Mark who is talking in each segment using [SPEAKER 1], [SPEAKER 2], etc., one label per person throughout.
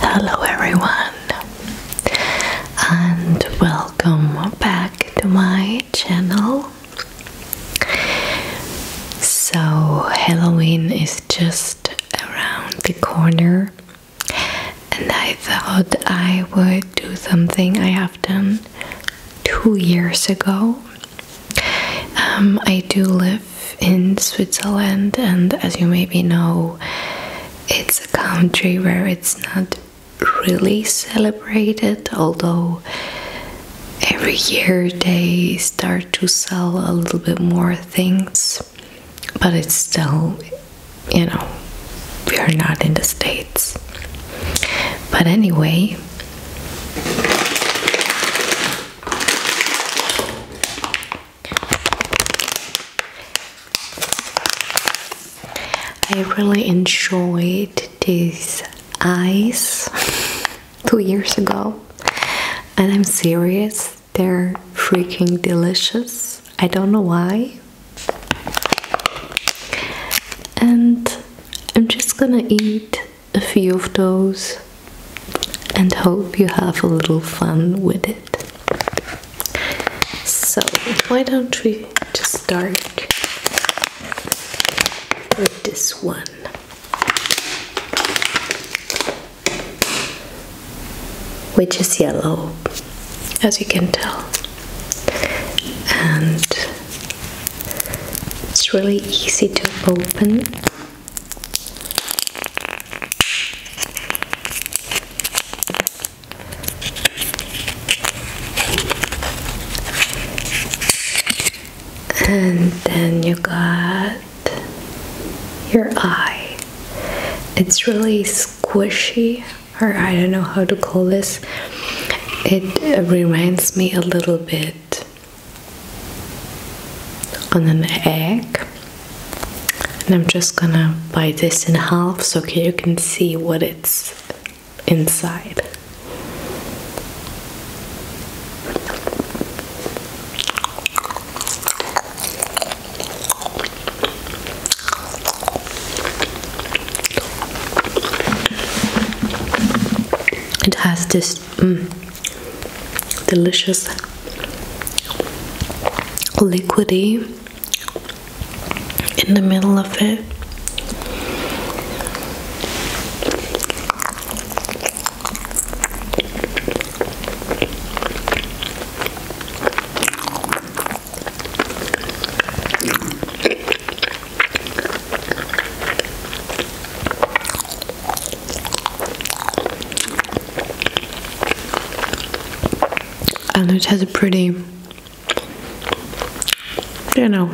[SPEAKER 1] Hello, everyone, and welcome back to my channel. So, Halloween is just around the corner, and I thought I would do something I have done two years ago. Um, I do live in Switzerland, and as you maybe know, it's a country where it's not really celebrated, although every year they start to sell a little bit more things, but it's still, you know, we are not in the States. But anyway, I really enjoyed these eyes two years ago, and I'm serious, they're freaking delicious. I don't know why. And I'm just gonna eat a few of those and hope you have a little fun with it. So, why don't we just start with this one? Which is yellow, as you can tell, and it's really easy to open. And then you got your eye. It's really squishy, or I don't know how to call this. It reminds me a little bit and an egg and I'm just gonna bite this in half so you can see what it's inside it has this mm, delicious liquidy in the middle of it and it has a pretty you know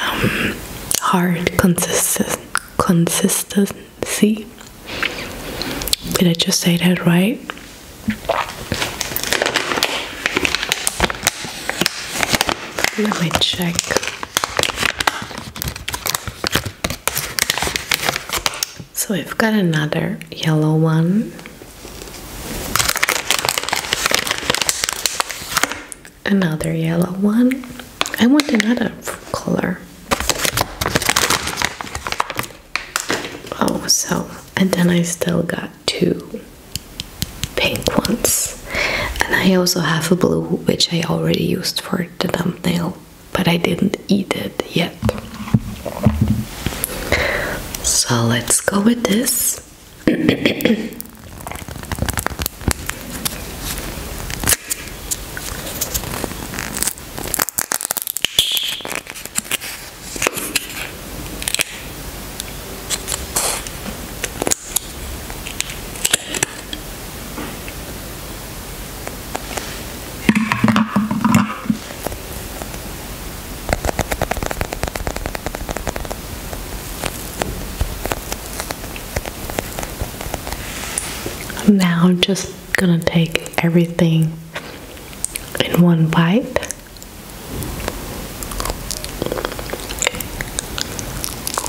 [SPEAKER 1] um, hard consistency did I just say that right let me check. So we've got another yellow one. Another yellow one. I want another color. Oh, so, and then I still got two pink ones and I also have a blue which I already used for the thumbnail but I didn't eat it yet so let's go with this now I'm just gonna take everything in one bite.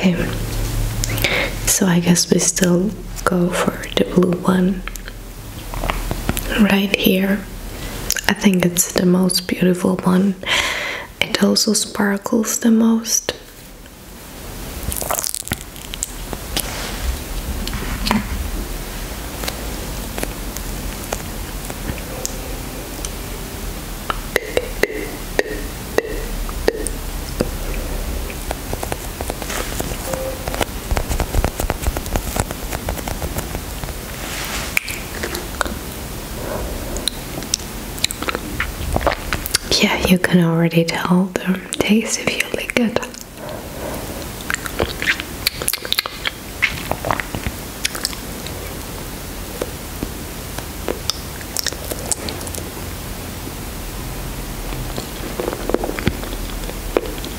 [SPEAKER 1] Okay, so I guess we still go for the blue one right here i think it's the most beautiful one it also sparkles the most yeah, you can already tell the taste if you lick it.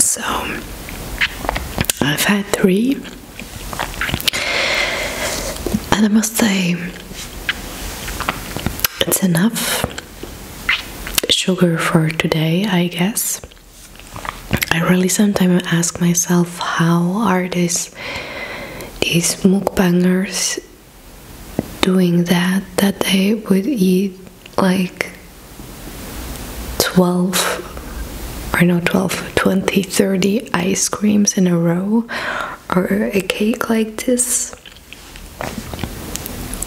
[SPEAKER 1] So I've had three, and I must say it's enough sugar for today, I guess. I really sometimes ask myself, how are these these is mukbangers doing that that they would eat like 12 or know, 12 20 30 ice creams in a row or a cake like this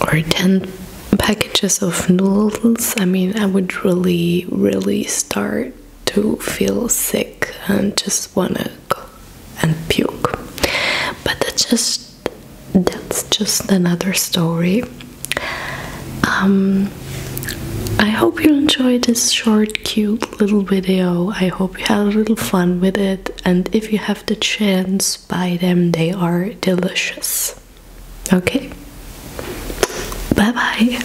[SPEAKER 1] or 10 packages of noodles i mean i would really really start to feel sick and just wanna go and puke. But that's just that's just another story. Um, I hope you enjoyed this short, cute little video. I hope you had a little fun with it. And if you have the chance, buy them. They are delicious. Okay? Bye bye.